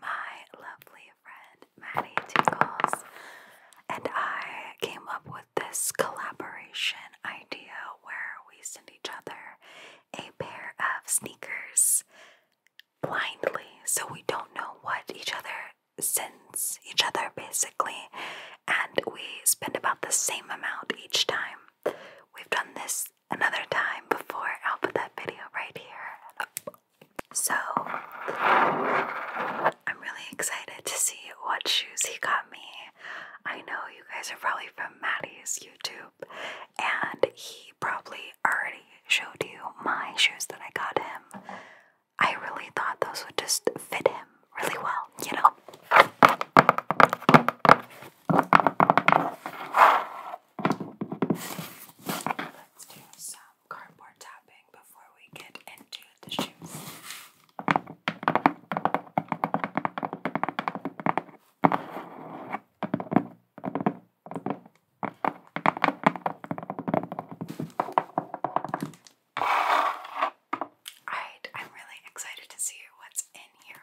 my lovely friend Maddie Tinkles and I came up with this collaboration idea where we send each other a pair of sneakers blindly so we don't know what each other sends each other basically and we spend about the same amount each time. We've done this another time before. I'll put that video right here. So, I'm really excited to see what shoes he got me. I know you guys are probably from Maddie's YouTube, and he probably already showed you my shoes that I got him. I really thought those would just fit him really well, you know? Let's do some cardboard tapping before we get into the shoes. Alright, I'm really excited to see what's in here.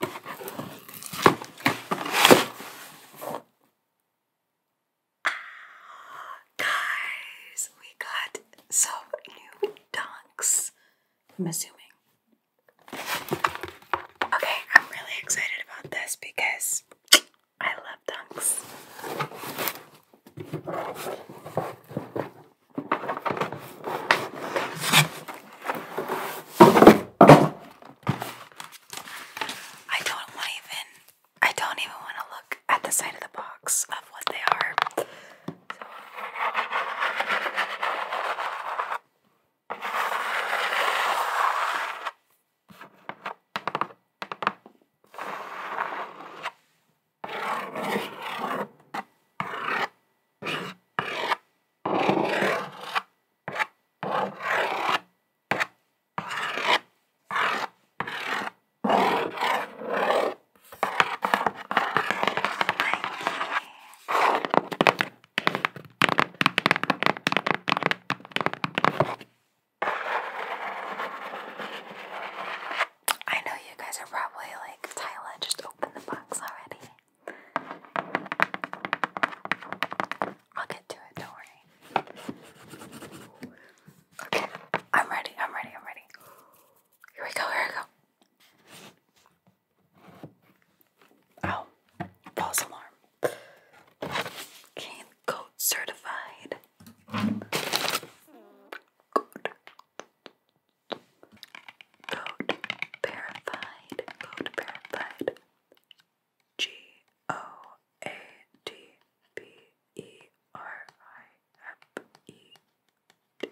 Guys, we got some new dunks. I'm assuming. Okay, I'm really excited about this because I love dunks. I don't even I don't even want to look at the side of the box of what they are. I know you guys are probably like, Tyler, just open the box already. I'll get to it, don't worry. Okay, I'm ready, I'm ready, I'm ready. Here we go, here we go. Oh, false alarm. Cane coat certified. Good. Code verified. Code verified. G O A D B E R I F E. D.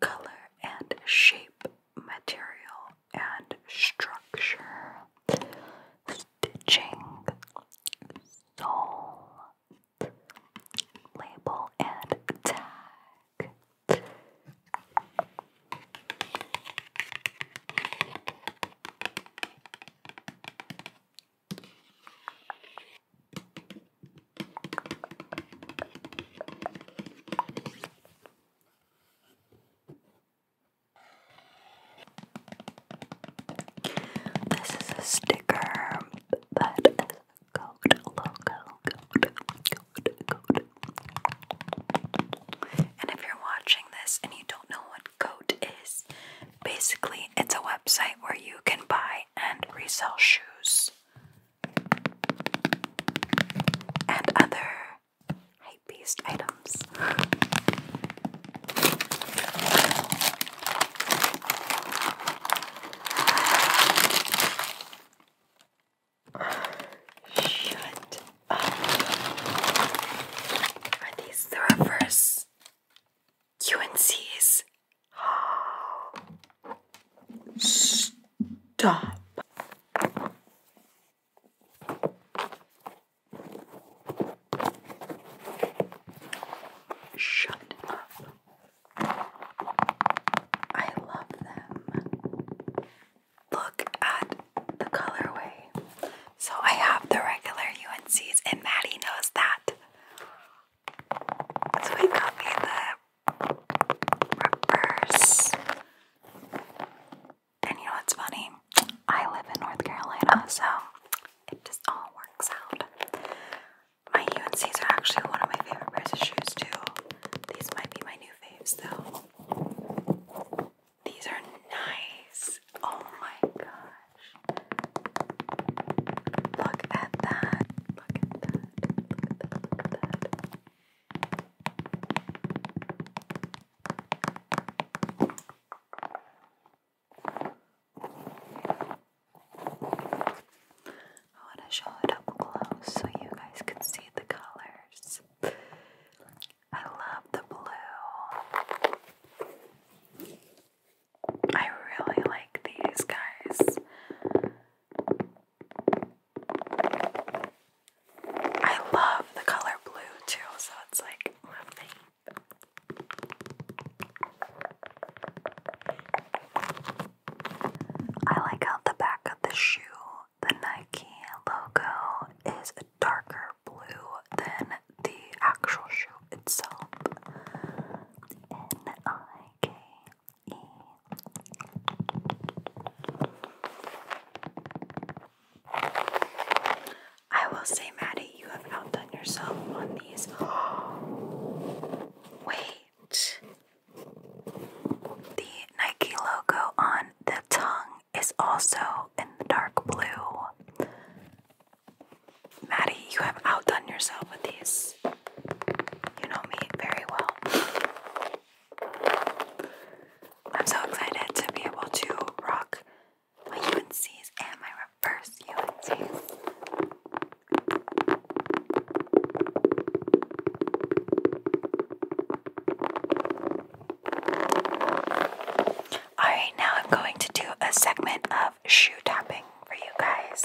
Color and shape material and structure, stitching, sole, label, and tag. This is a sticker that is a code logo And if you're watching this and you don't know what code is, basically it's a website where you can buy and resell shoes and other hype-based items. Shut Are these the reverse QNCs? Stop. Shut up. I love them. Look at the colorway. So I have the regular UNCs, and Maddie knows that. So he got me the reverse. And you know what's funny? I live in North Carolina, so it just all works out. My C's are actually one of my favorite pairs of shoes, too. These might be my new faves, though. These are nice. Oh my gosh. Look at that. Look at that. Look at that. Look at that. I want to show it up close so you guys can see the colors. I love the blue. I really like these guys. I love the color blue too, so it's like lovely. I like how the back of the shoe, the Nike logo, is darker blue than the actual shoe itself. N I K I will say, Maddie, you have outdone yourself on these. wait. The Nike logo on the tongue is also in dark blue. Maddie, you have outdone yourself with these. You know me very well. I'm so excited to be able to rock my UNCs and my reverse UNCs. Alright, now I'm going to do a segment of shoe tapping for you guys.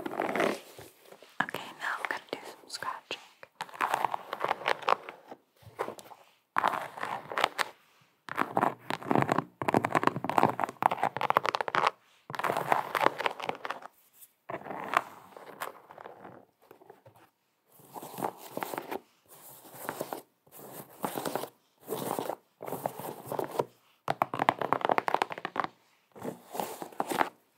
Okay, now I'm going to do some scratching.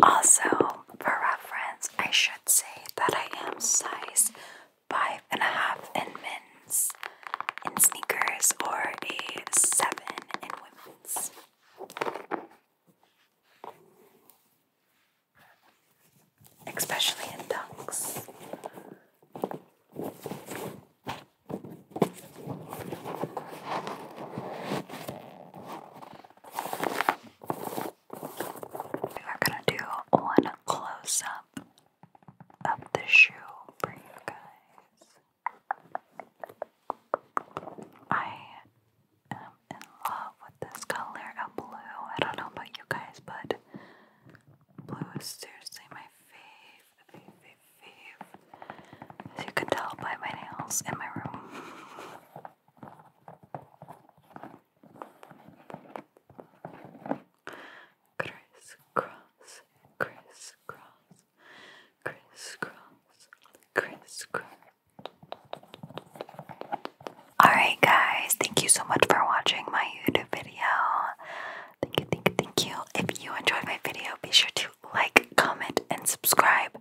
Also, for reference, I should say that I am size five and a half in men's in sneakers or a seven in women's. Especially in dunks. We are going to do one close up of the shoe for you guys. I am in love with this color of blue. I don't know about you guys, but blue is seriously my fave, fave, fave, fave. As you can tell by my nails in my room. Criss cross, criss cross, Alright, guys, thank you so much for watching my YouTube video. Thank you, thank you, thank you. If you enjoyed my video, be sure to like, comment, and subscribe,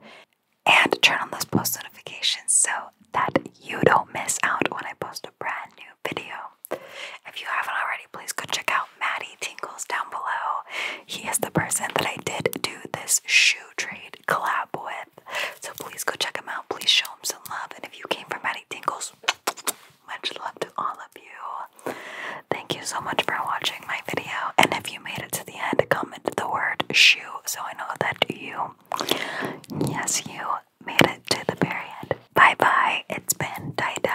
and turn on those post notifications so that you don't miss out when I post a brand new video. If you haven't already, please go check out Maddie Tingles down below. He is the person that I did do this shoe trade collab with. So please go check him out. Please show him some love. And if you came from Maddie Tingles, much love to all of you. Thank you so much for watching my video. And if you made it to the end, comment the word shoe so I know that you, yes, you made it to the period. Bye bye, it's been die die.